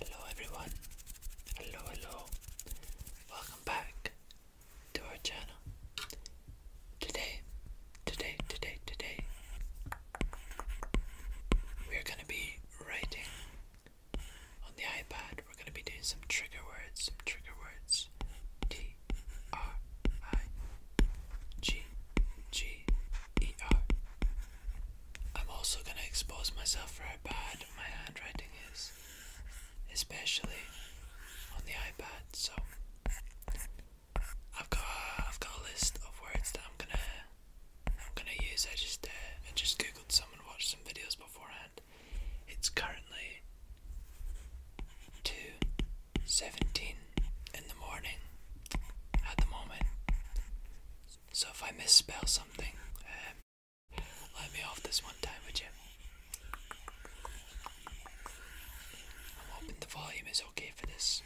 Hello everyone, hello, hello, welcome back to our channel. Today, today, today, today, we're going to be writing on the iPad. We're going to be doing some trigger words, some trigger words. T R I G G i I'm also going to expose myself for how bad my handwriting is, especially on the iPad. So I've got a, I've got a list of words that I'm gonna I'm gonna use. I just uh, I just googled some and watched some videos beforehand. It's currently two seventeen in the morning at the moment. So if I misspell something, um, let me off this one time, would you? I'm hoping the volume is okay for this.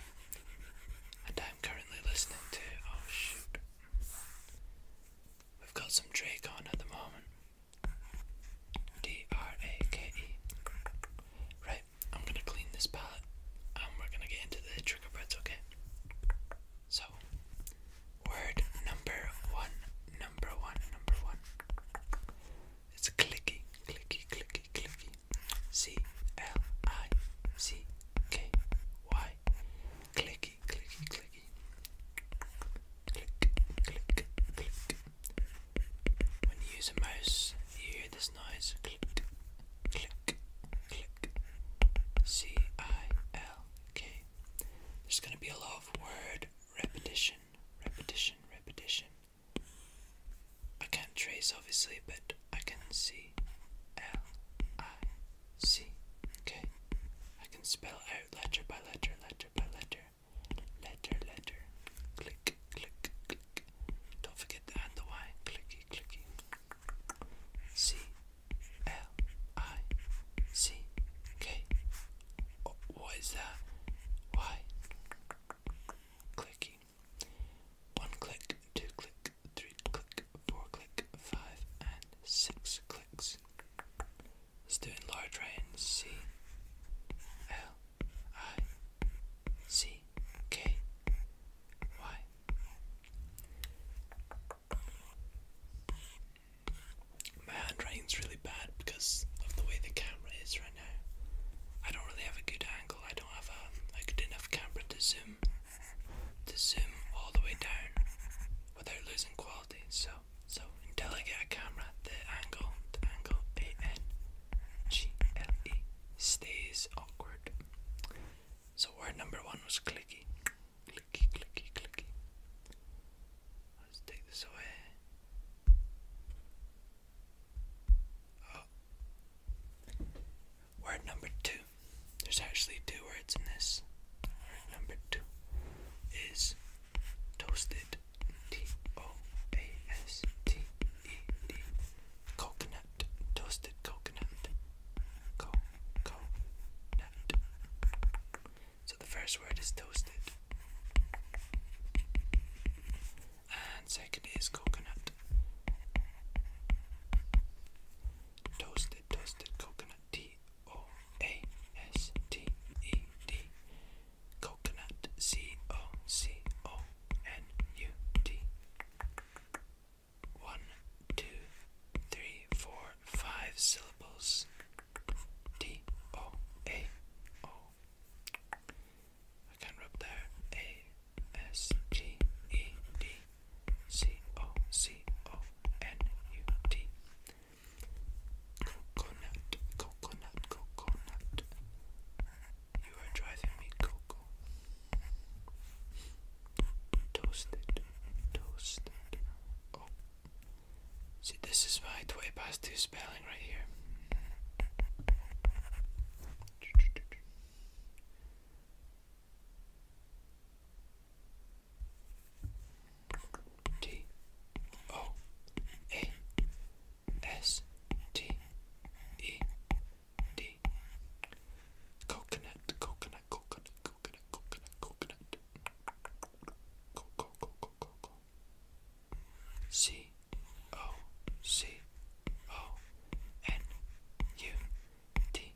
And I'm currently listening to. Oh shoot. We've got some Drake on at the moment. D R A K E. Right, Okay, I'm gonna clean this palette and um, we're gonna get into the trigger words, okay? So, word number one, number one, number one. It's clicky, clicky, clicky, clicky. C L I C K Y. Clicky, clicky, clicky. Click, click, click. When you use a mouse, you hear this noise. Click, click, click, C I L K. There's going to be a lot of word repetition, repetition, repetition. I can't trace obviously, but I can see L I C. Okay, I can spell out letter by letter, letter by letter, letter, letter. Click, click, click, don't forget to add the Y. Clicky, clicky. C L I C K. Oh, what is that? Y. Clicky. One click, two click, three click, four click, five, and six clicks. Let's large right C L I C C K Y. My handwriting's really bad because of the way the camera is right now. I don't really have a good angle. I don't have a, a good enough camera to zoom to zoom all the way down without losing quality. So so until I get a camera, the angle, the angle A N G L E stays awkward. So word number one was clicky. Clicky, clicky, clicky. Let's take this away. Oh. Word number two. There's actually two words in this. Word number two is toasted. T O A S T E D coconut, toasted coconut, coconut. So the first word is toasted, and second is coconut. Toasted, toasted coconut. T O A S T E D. Coconut. C O C O N U T. One, two, three, four, five syllables. D O A O. rub there. A S G E D C O C O N U T. Coconut, coconut, coconut. You are driving me coco. Toasted, toasted. Oh, see, this is my it way past two spelling right here. T O A S T E D. Coconut, coconut, coconut, coconut, coconut, coconut. Co co co co co co. C O C O N U T.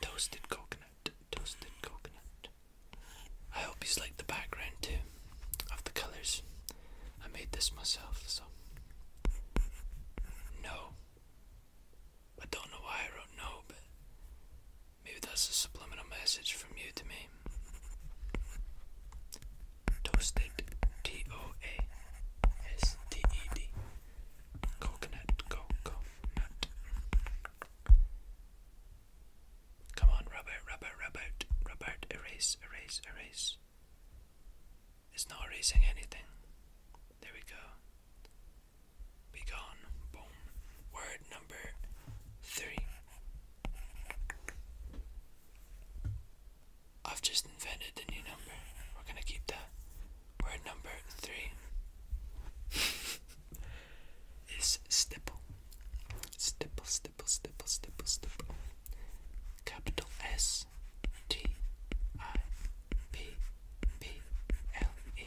Toasted coconut, toasted coconut. I hope you like the background too of the colors. I made this myself, so. No. I don't know why I wrote no, but maybe that's a subliminal message from you to me. Toasted T O A S T E D. Coconut, coconut. Come on, rub out, rub out, rub out, rub out, erase, erase, erase. It's not erasing anything. There we go. Be gone. Boom. Word number three. I've just invented a new number. We're gonna keep that. Word number three is stipple. Stipple, stipple, stipple, stipple, stipple. Capital S. S T I P P L E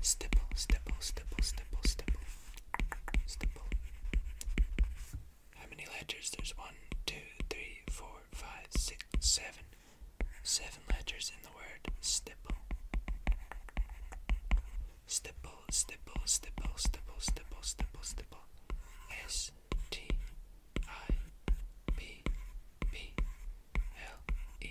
Stipple, stipple, stipple, stipple, stipple, stipple. How many letters? There's one, two, three, four, five, six, seven. Seven letters in the word stipple. Stipple, stipple, stipple, stipple, stipple, stipple, stipple. S T I P P L E.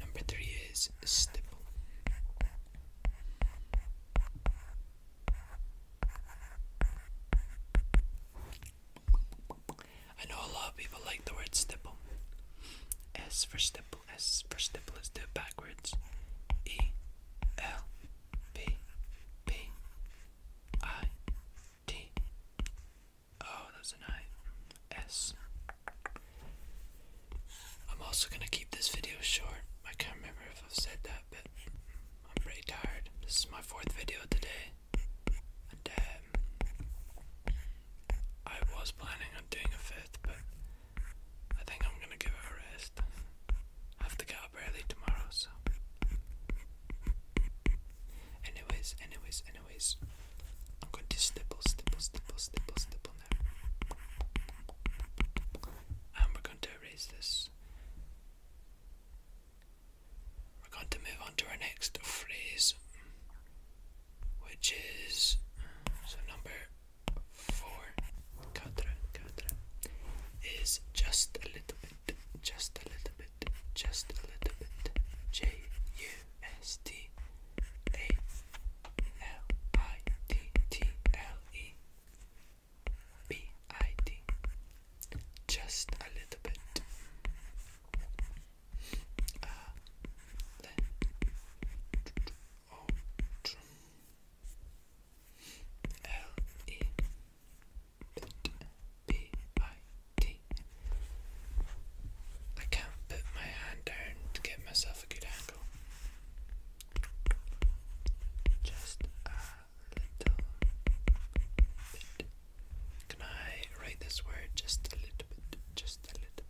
Number three is stipple. I know a lot of people like the word stipple. S for stipple double S for stipple. let do backwards. E L P P I T. Oh, that's an I. S. I'm also gonna keep this video short. I can't remember if I've said that, but I'm pretty tired. This is my fourth video today, and um, I was planning on doing a fifth, but I think I'm gonna give it a rest. I have to get up early tomorrow, so. Anyways, anyways, anyways, I'm going to stipple, stipple, stipple, stipple, stipple now. And we're going to erase this. We're going to move on to our next phrase which is so number four, cadra, cadra, is just a little bit, just a little bit, just a little bit. J U S T A L I T T L E B I D. Just a little bit outro B I T. I can't put my hand down to get myself a good angle. Just a little bit. Can I write this word just a little bit? Just a little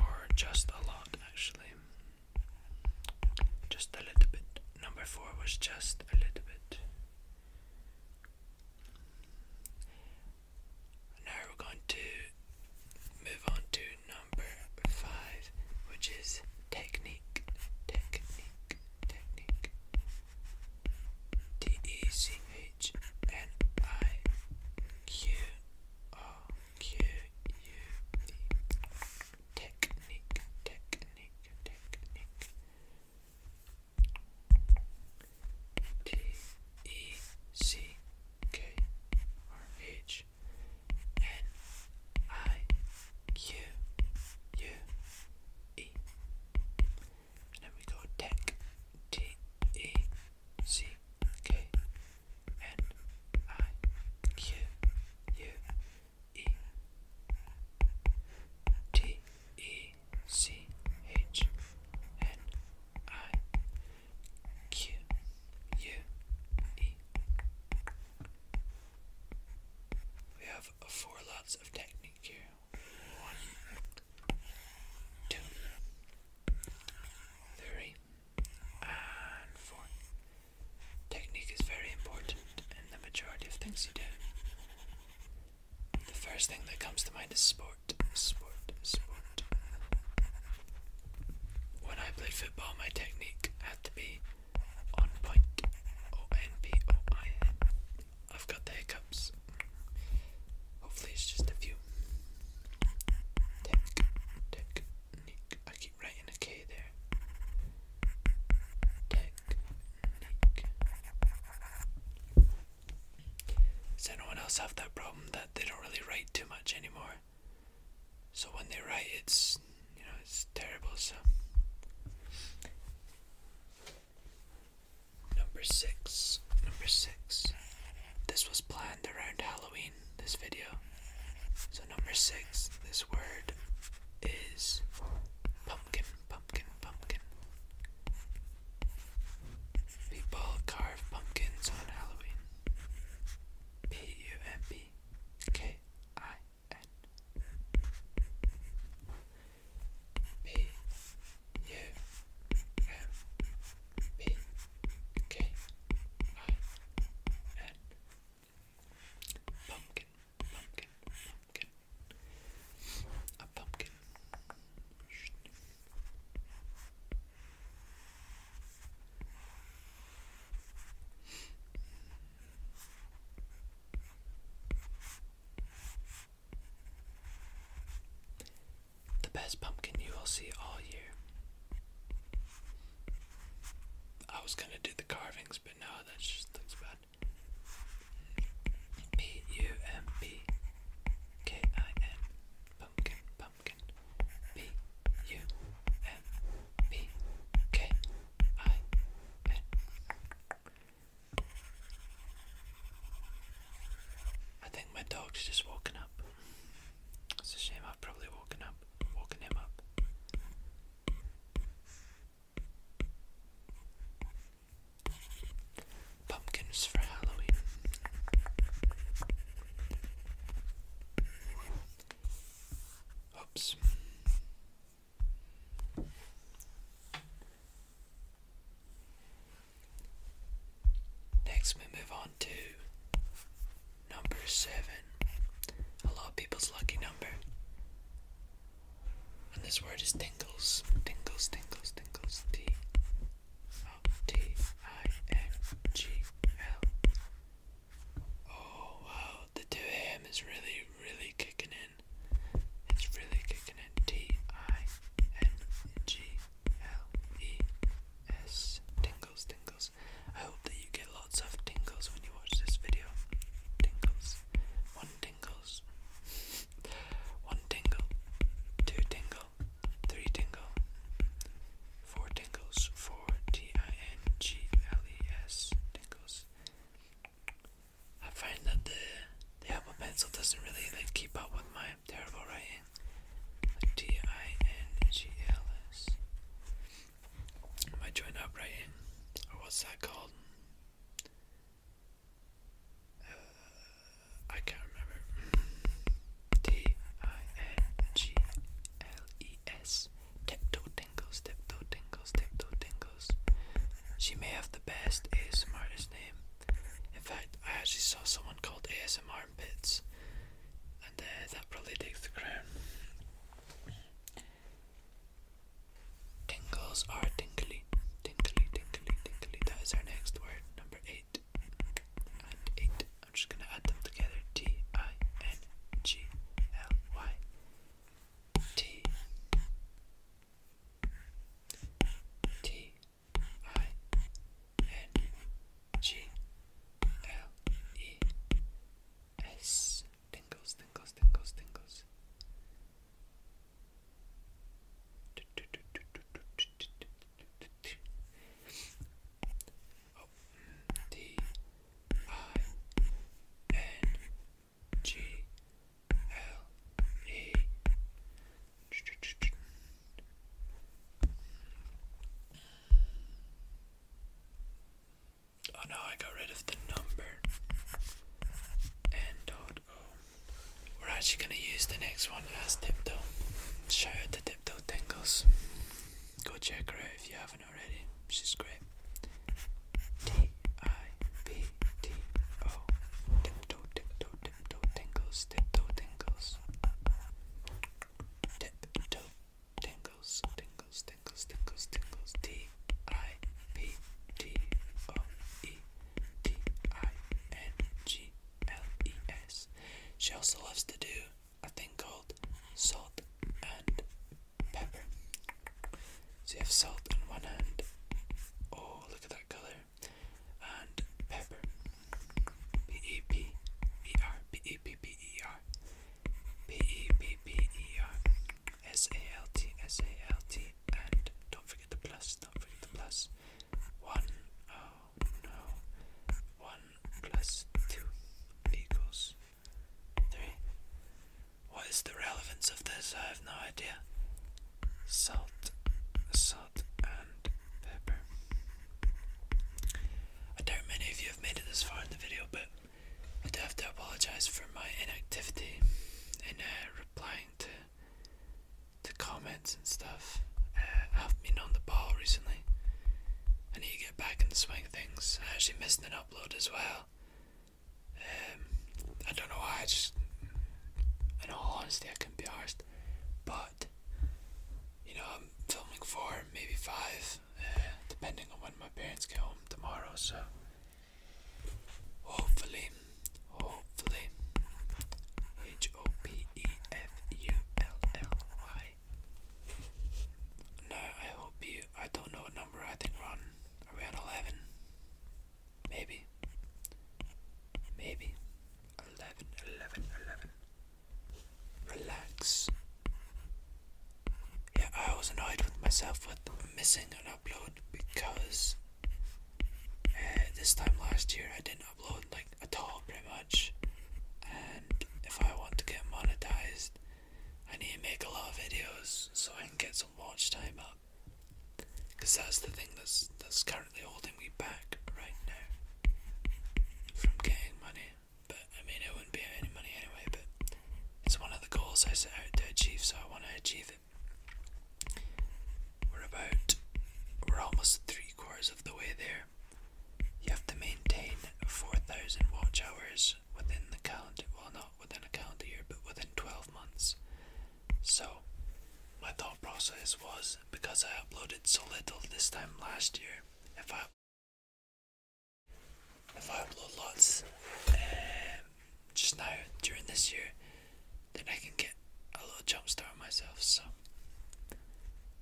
or just a lot actually. Just a little bit. Number four was just a little bit. Now we're going to move on to number five, which is technique. Technique. Technique. T E C H N I Q R Q U E technique, technique, technique. T E C K R H N I Q U E. then we go tech T E C K N I Q U E T E C H N I Q U E We have four lots of technique here. One, two, three. And four. Technique is very important in the majority of things you do. The first thing that comes to mind is sport. Sport, sport. When I played football, my technique had to be on point. O N P O I N. I've got the hiccups. Hopefully, it's just a few. Technique. I keep writing a K there. Technique. Does anyone else have that problem that they don't really write too much anymore? So when they write, it's you know it's terrible. So number six, number six. This was planned around Halloween seen this video. So, number six, this word is pumpkin, pumpkin, pumpkin. People carve pumpkins on Halloween. P U M P K I N. P U M P K I N Pumpkin, pumpkin, pumpkin. A pumpkin. The best pumpkin you will see all year. I was gonna do the carvings, but no, that just looks bad. P U M P K I N Pumpkin Pumpkin P U M P K I N I think my dog's just woken up. It's a shame I've probably woken up woken him up. Pumpkins for Halloween. Oops. Next, we move on to number seven. A lot of people's lucky number. And this word is tingles. Tingles, tingles, tingles. T O T I N G L. Oh wow, the 2 a.m. is really, really kicking in. It's really kicking in. T I N G L-E-S tingles, tingles. I hope that you get lots of tingles when you watch this video. Tingles. One tingles. One tingle. Two tingle. Three tingle. Four tingles. Four T-I-N-G-L-E-S tingles. I find that the the Apple Pencil doesn't really keep up with my terrible writing. D I N G L S. Am I doing Or what's that called? Uh, I can't remember. D I N G L E S. Tiptoe tingles, tiptoe tingles, tiptoe tingles. She may have the best ASMR's name. In fact, I actually saw someone called ASMR Pits and that probably takes the crown. Tingles are tingly, tingly, tingly, tingly. That is our next word, number eight and eight. I'm just gonna add them together. T I N G L Y T T I N G L E S tingles, tingles, tingles, tingles. Oh, Oh no, I got rid of the number. N.O. We're actually going to use the next one as Tiptoe. Shout out Tiptoe Tingles. Go check her out if you haven't already. Subscribe. T I P T O Tiptoe Tiptoe Tiptoe Tingles Tiptoe Tingles tip tingles, tingles, tingles, tingles, tingles, T I P T O E T I N G L E S. She also loves to do a thing called salt and pepper. So you have salt on one hand. Oh, look at that color. And pepper P E P E R P E P P E R P E P P E R S A L T S A L T and don't forget the plus, don't forget the plus. One oh no one plus two equals three. What is the relevance of this? I have no idea. Salt, salt salt and pepper. I doubt many of you have made it this far in the video, but I do have to apologise for my inactivity in uh, replying to to comments and stuff. I uh, have been on the ball recently. and need to get back in swing things. I actually missed an upload as well. Um, I don't know why. I just, in all honesty, I can be honest, But you know, I'm filming four, maybe five, eh, depending on when my parents get home tomorrow. So hopefully, hopefully, H O P E F U L L Y. No, I hope you. I don't know what number. I think we around eleven, maybe, maybe 11, 11 relax. Yeah, I was annoyed with myself with missing an upload because eh, this time last year I didn't upload like at all, pretty much. And if I want to get monetized, I need to make a lot of videos so I can get some watch time up. Cause that's the thing that's that's currently holding me back right now from getting money. But I mean, it wouldn't be any money anyway. But it's one of the goals I set out to achieve, so I want to achieve it. We're about, we're almost three quarters of the way there. You have to maintain 4,000 watch hours within the calendar, well, not within a calendar year, but within 12 months. So, my thought process was because I uploaded so little this time last year, if I if I upload lots um, just now during this year, then I can get a little jump start on myself. So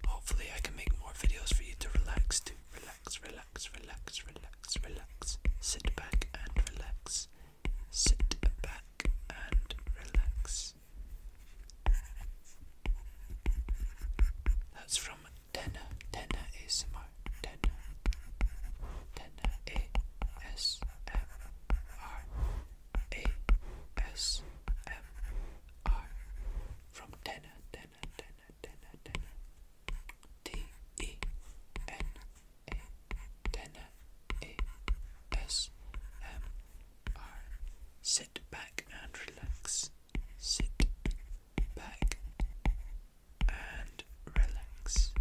hopefully I can make more videos for you to relax to. Relax, relax, relax, relax, relax. Sit back and relax. Sit back and relax. Yes. That's from Tenna. Tenna ASMR. Tenna. Tenna A S M R. A S M R. From Tenna. Tenna. Tenna. Tenna. Tenna. T E N A. Tenna A S M R. Sit back and relax sit back and relax.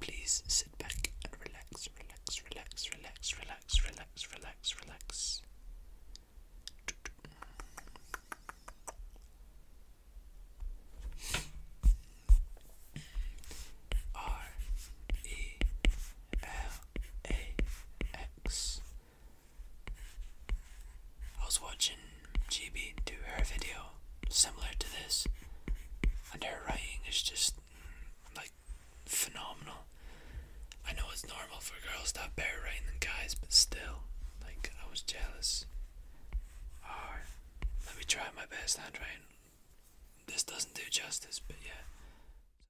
Please sit back and relax, relax, relax, relax, relax, relax, relax, relax. R E L A X. I was watching GB do her video similar to this, and her writing is just mm, like phenomenal. I know it's normal for girls to have better writing than guys, but still, like, I was jealous. Or, ah, let me try my best handwriting. This doesn't do justice, but yeah.